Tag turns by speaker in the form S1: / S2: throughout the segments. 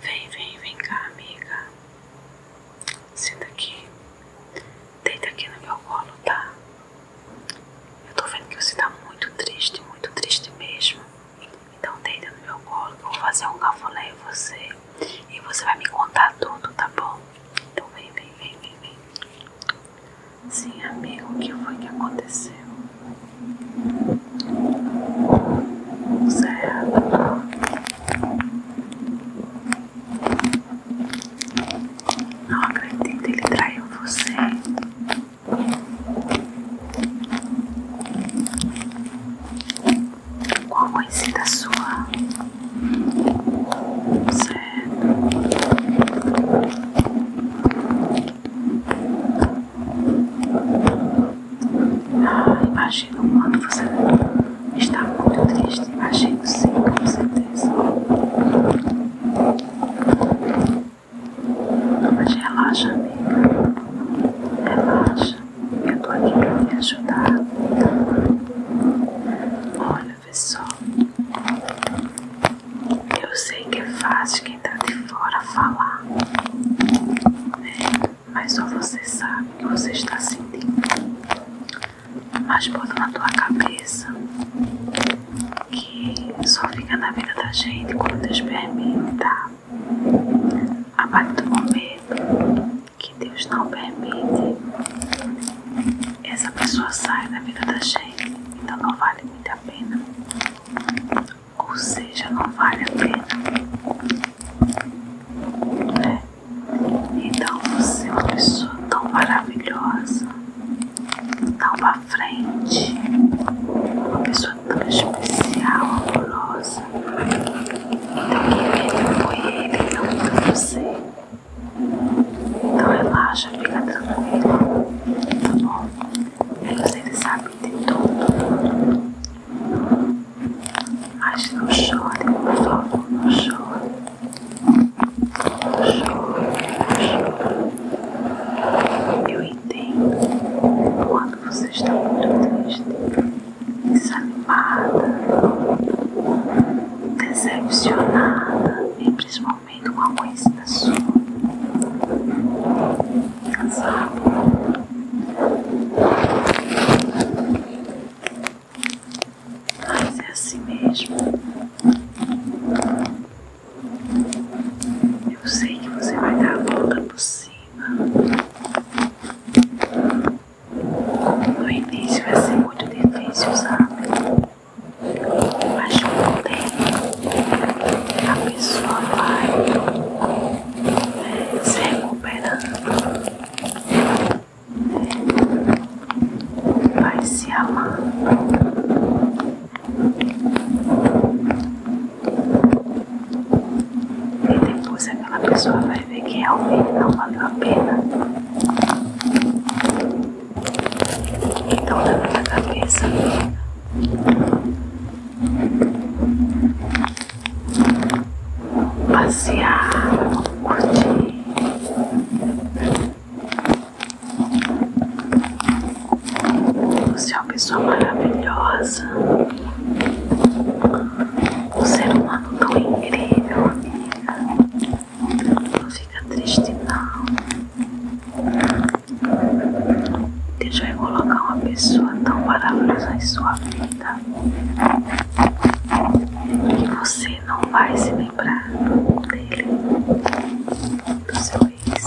S1: Vem, vem, vem cá, amiga. Senta aqui. Deita aqui no meu colo, tá? Eu tô vendo que você tá muito triste, muito triste mesmo. Então deita no meu colo que eu vou fazer um cafuné em você. E você vai me contar tudo, tá bom? Então vem, vem, vem, vem, vem. Sim, amigo, o que foi que aconteceu? Zero. Não acredito, ele traiu você qual da sua? Certo. Ah, imagino quando você está muito triste. Imagino sim, com certeza. Mas relaxa, amigo. Relaxa. Eu tô aqui pra me ajudar. Olha, pessoal. Eu sei que é fácil quem tá de fora falar, né? Mas só você sabe o que você está sentindo. Mas bota na tua cabeça que só fica na vida da gente quando Deus permite, tá? A partir momento que Deus não permite essa pessoa saia da vida da gente, então não vale muito a pena, ou seja, não vale a pena, né? Então você é uma pessoa tão maravilhosa, tão pra frente, uma pessoa âncora especial, amorosa. Então, querido, é apoie ele não para você. Então, relaxa, fica tranquilo, tá bom? Menos ele sabe de tudo. Mas não chore, por favor, não chore. Não chore, não chore. Eu tem quando você está muito triste, desanimada, decepcionada e principalmente com uma conhecida sua. Sabe? Mas é assim mesmo. Eu sei que você vai dar a volta possível. No início vai ser muito difícil, sabe? Mas com o tempo a pessoa vai é, se recuperando, né? vai se amar. Depois é aquela pessoa vai ver que realmente é não valeu a pena. Então leva na cabeça. Passear, curtir. Você é uma pessoa maravilhosa, um ser humano tão incrível, amiga. Não fica triste, não. Deus vai colocar uma pessoa tão maravilhosa em sua vida que você não vai se lembrar dele, do seu ex.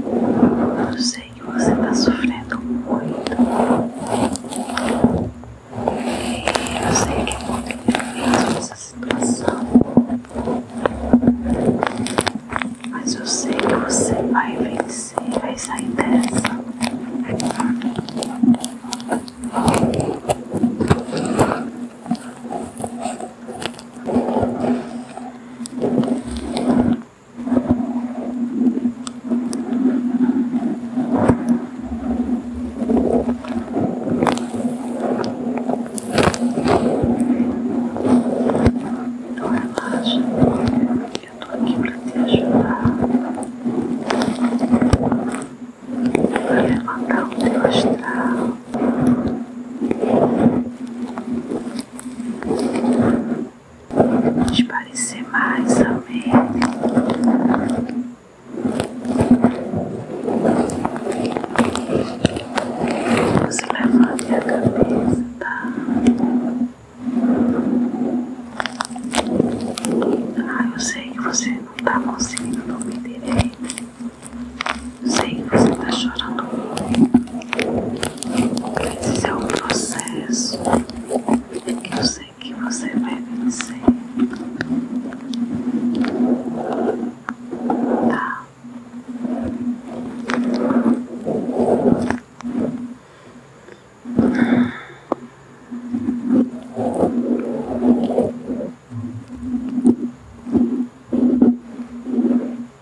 S1: Eu sei que você está sofrendo muito. eu sei que é muito difícil essa situação. Mas eu sei que você vai vencer, vai sair dessa. Então relaxa, eu tô aqui pra te ajudar a levantar o teu astral de parecer mais ameno. Você levanta a cabeça, tá? Ah, eu sei que você não tá conseguindo dormir direito. Sei que você está chorando Esse é o processo. Eu sei que você vai vencer. Tá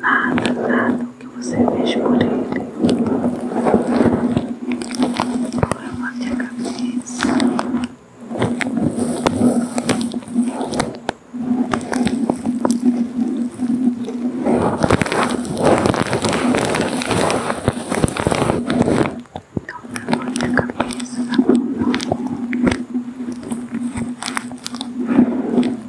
S1: nada, nada do que você vê por ele. Agora eu bati a cabeça. Então, eu bati a cabeça tá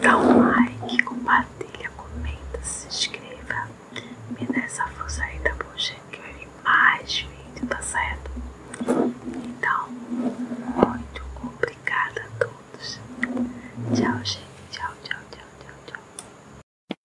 S1: Dá um like, compartilha, comenta, se inscreva. Me dá essa força aí, tá bom, gente? Que vai vir mais vídeo, tá certo? Então, muito obrigada a todos. Tchau, gente. Tchau, tchau, tchau, tchau, tchau.